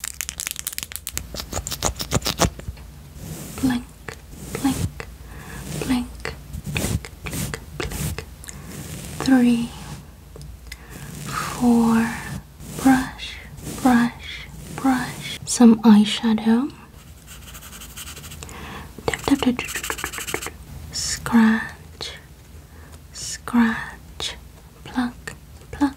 Blink, blink, blink, blink, blink, blink. Three, four, brush, brush, brush. Some eyeshadow. Tap, Scratch, scratch, pluck, pluck,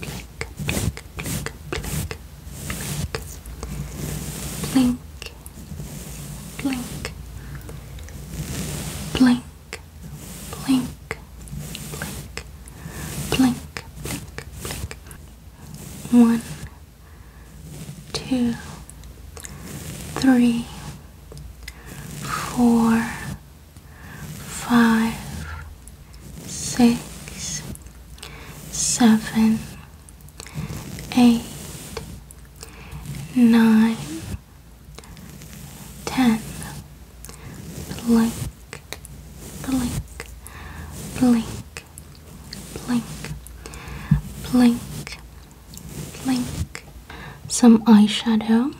blink, blink, blink, blink, blink, blink, blink, blink, blink, blink, blink, blink. One, two, three, four, five six, seven, eight, nine, ten. Blink, blink, blink, blink, blink, blink. Some eyeshadow.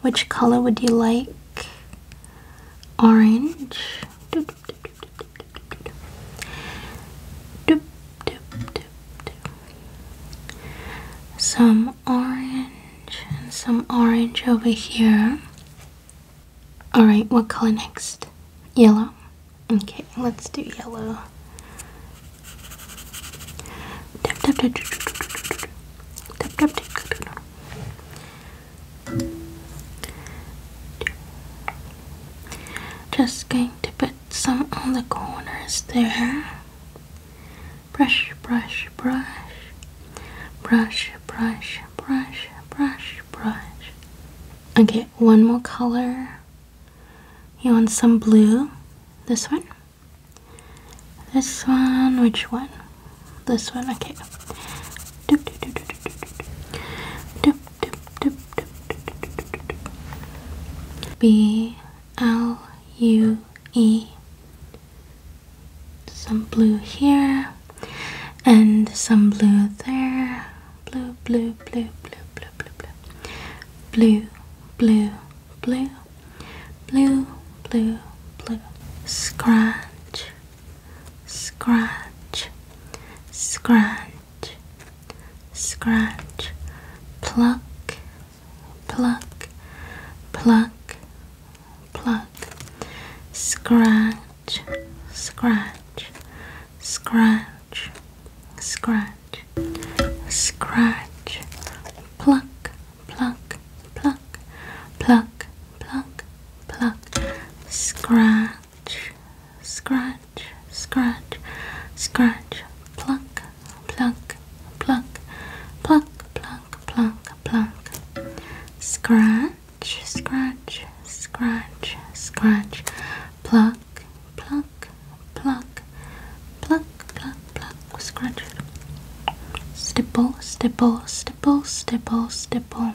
Which color would you like? Orange. Some orange and some orange over here. Alright, what color next? Yellow? Okay, let's do yellow. Just going to put some on the corners there. Brush, brush, brush. Brush, brush, brush, brush, brush. Okay, one more color. You want some blue? This one? This one? Which one? This one, okay. Dip, dip, dip, dip, dip, dip, dip, dip, dip. B L U E. Some blue here and some blue there. Blue, blue, blue, blue, blue, blue, blue. Blue, blue, blue, blue, blue, blue. Scratch, scratch, scratch, scratch, pluck, pluck, pluck, pluck, scratch, scratch, scratch, scratch, scratch, pluck, pluck, pluck, pluck, pluck, pluck, scratch scratch, scratch, scratch, pluck, pluck, pluck, pluck, pluck, pluck, pluck, scratch, scratch, scratch, scratch, pluck, pluck, pluck, pluck, pluck, pluck, scratch, stipple, stipple, stipple, stipple, stipple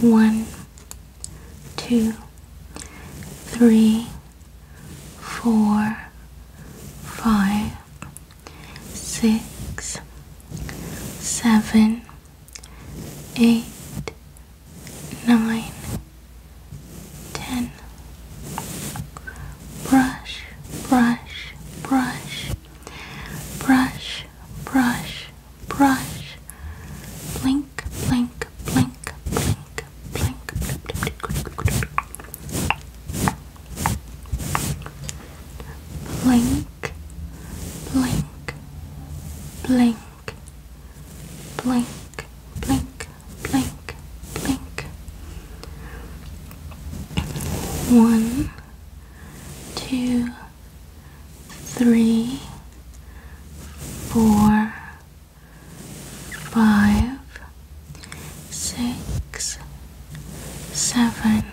one, two, three, four, five, six, seven, eight, nine, ten. Brush, brush, brush. Brush, brush, brush. Blink, blink, blink, blink, blink. Blink, blink, blink, blink, blink, blink, blink. One, two, three, four, five, six, seven,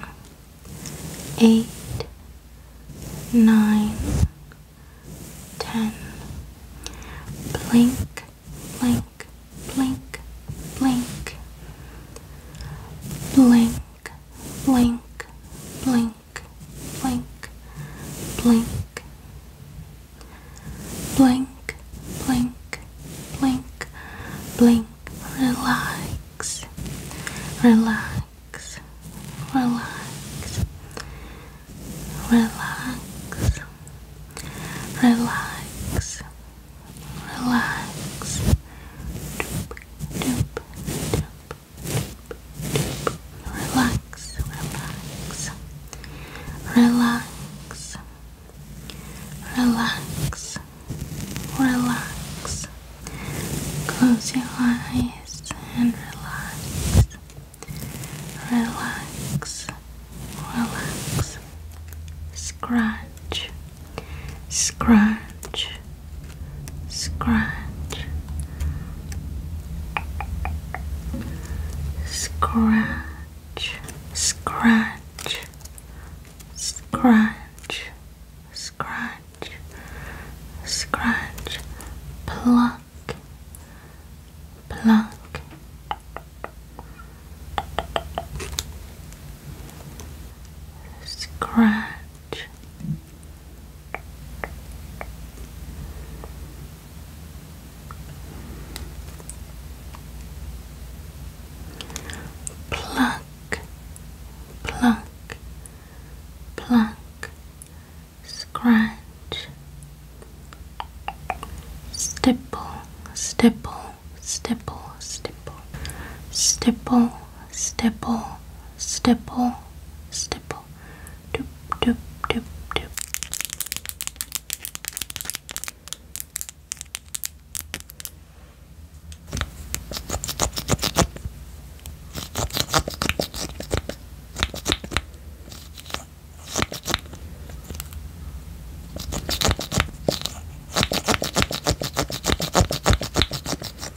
eight, nine, ten. Blink, blink, blink, blink, blink, blink, blink, blink, blink, blink, blink, blink, blink, relax, relax, relax, relax, relax relax. Doop, doop, doop, doop, Relax, relax, relax, relax, relax. Close your eyes and relax. Relax, relax. Scratch, scratch, scratch, scratch, scratch, scratch, scratch, scratch, pluck, pluck. Scratch, Pluck, pluck, pluck, scratch, stipple, stipple, stipple, stipple, stipple, stipple, stipple, stipple. Doop, doop, doop, doop.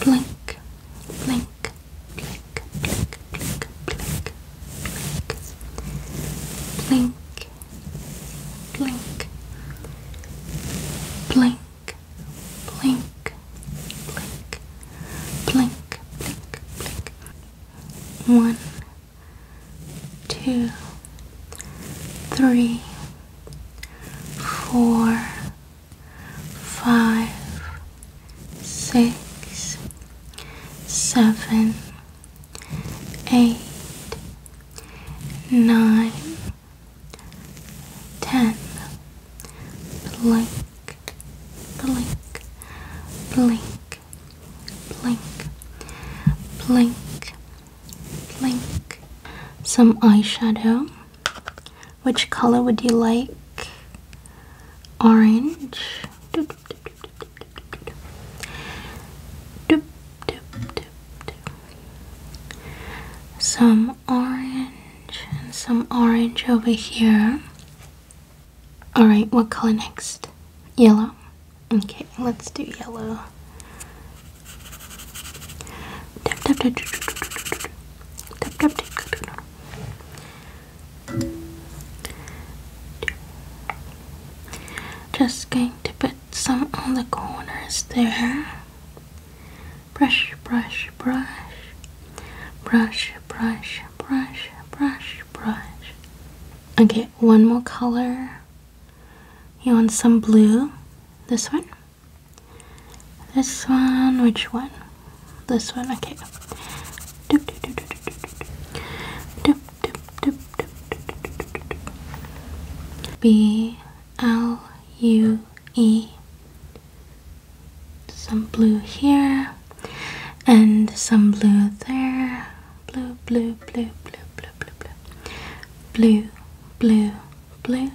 blink, blink, blink, blink, blink, blink, blink, blink, blink, blink, blink, blink, blink, blink. One, two, three, four, five, six, seven, eight, nine, ten. Blink, blink, blink, blink, blink, blink. Some eyeshadow. Which color would you like? Orange. Doop, doop, doop, doop, Some orange and some orange over here. Alright, what color next? Yellow? Okay, let's do yellow. doop, doop, doop, doop, doop, doop, doop tap tap tap just going to put some on the corners there brush brush brush brush brush brush brush brush okay one more color you want some blue this one this one, which one? This one, okay. Doop, doop, doop, doop, doop, doop. Doop, doop, doop, doop, doop, doop. B L U E. Some blue here and some blue there. Blue, blue, blue, blue, blue, blue, blue. Blue, blue, blue,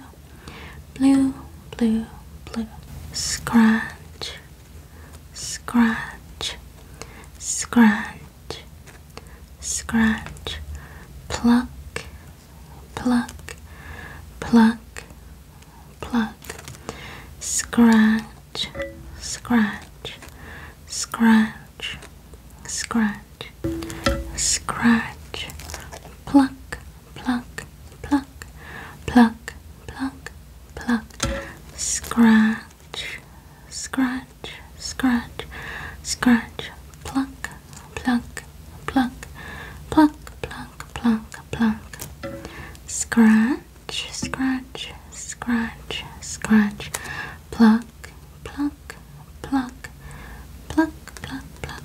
blue, blue, blue. Scratch, scratch, scratch, scratch. Pluck, pluck, pluck, pluck. Scratch, scratch, scratch, scratch, scratch. Pluck, pluck, pluck pluck, pluck, pluck, pluck, scratch, scratch, scratch, scratch, pluck, pluck, pluck, pluck, pluck, pluck, pluck, scratch, scratch, scratch, scratch, pluck, pluck, pluck, pluck, pluck, pluck,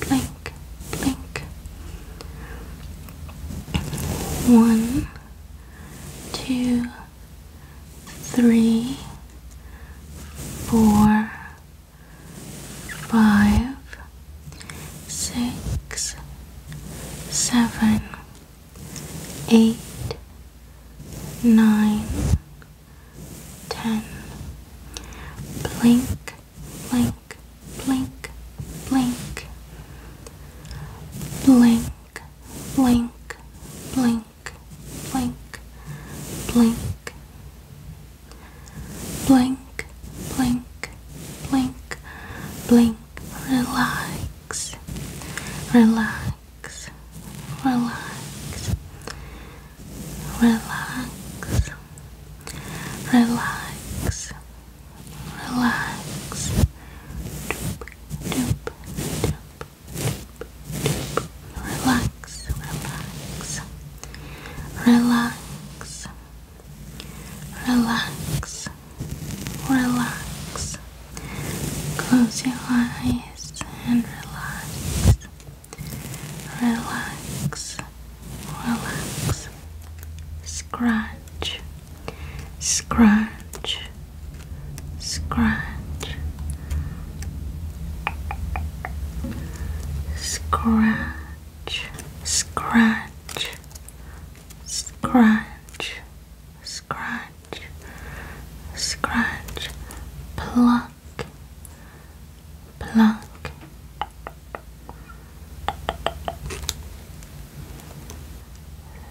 blink, blink. One, two, three, four, five, six, seven, eight, nine, ten. Blink, blink, blink, blink, blink, blink, blink, blink, blink, blink, blink, blink, blink, blink, relax, relax, relax, relax. Relax, relax. Doop, doop, doop, doop, doop. Relax, relax, relax, relax, relax. Close your eyes and relax, relax. Relax, relax, scratch, scratch, scratch, scratch, scratch, scratch, scratch, scratch, pluck pluck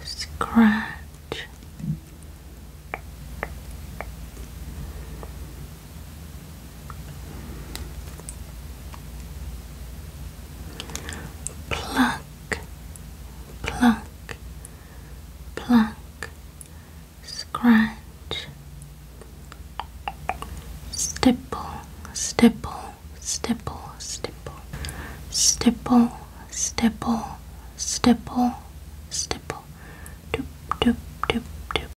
scratch pluck pluck pluck scratch stipple stipple stipple, stipple, stipple, stipple, stipple, doop, doop, doop, doop.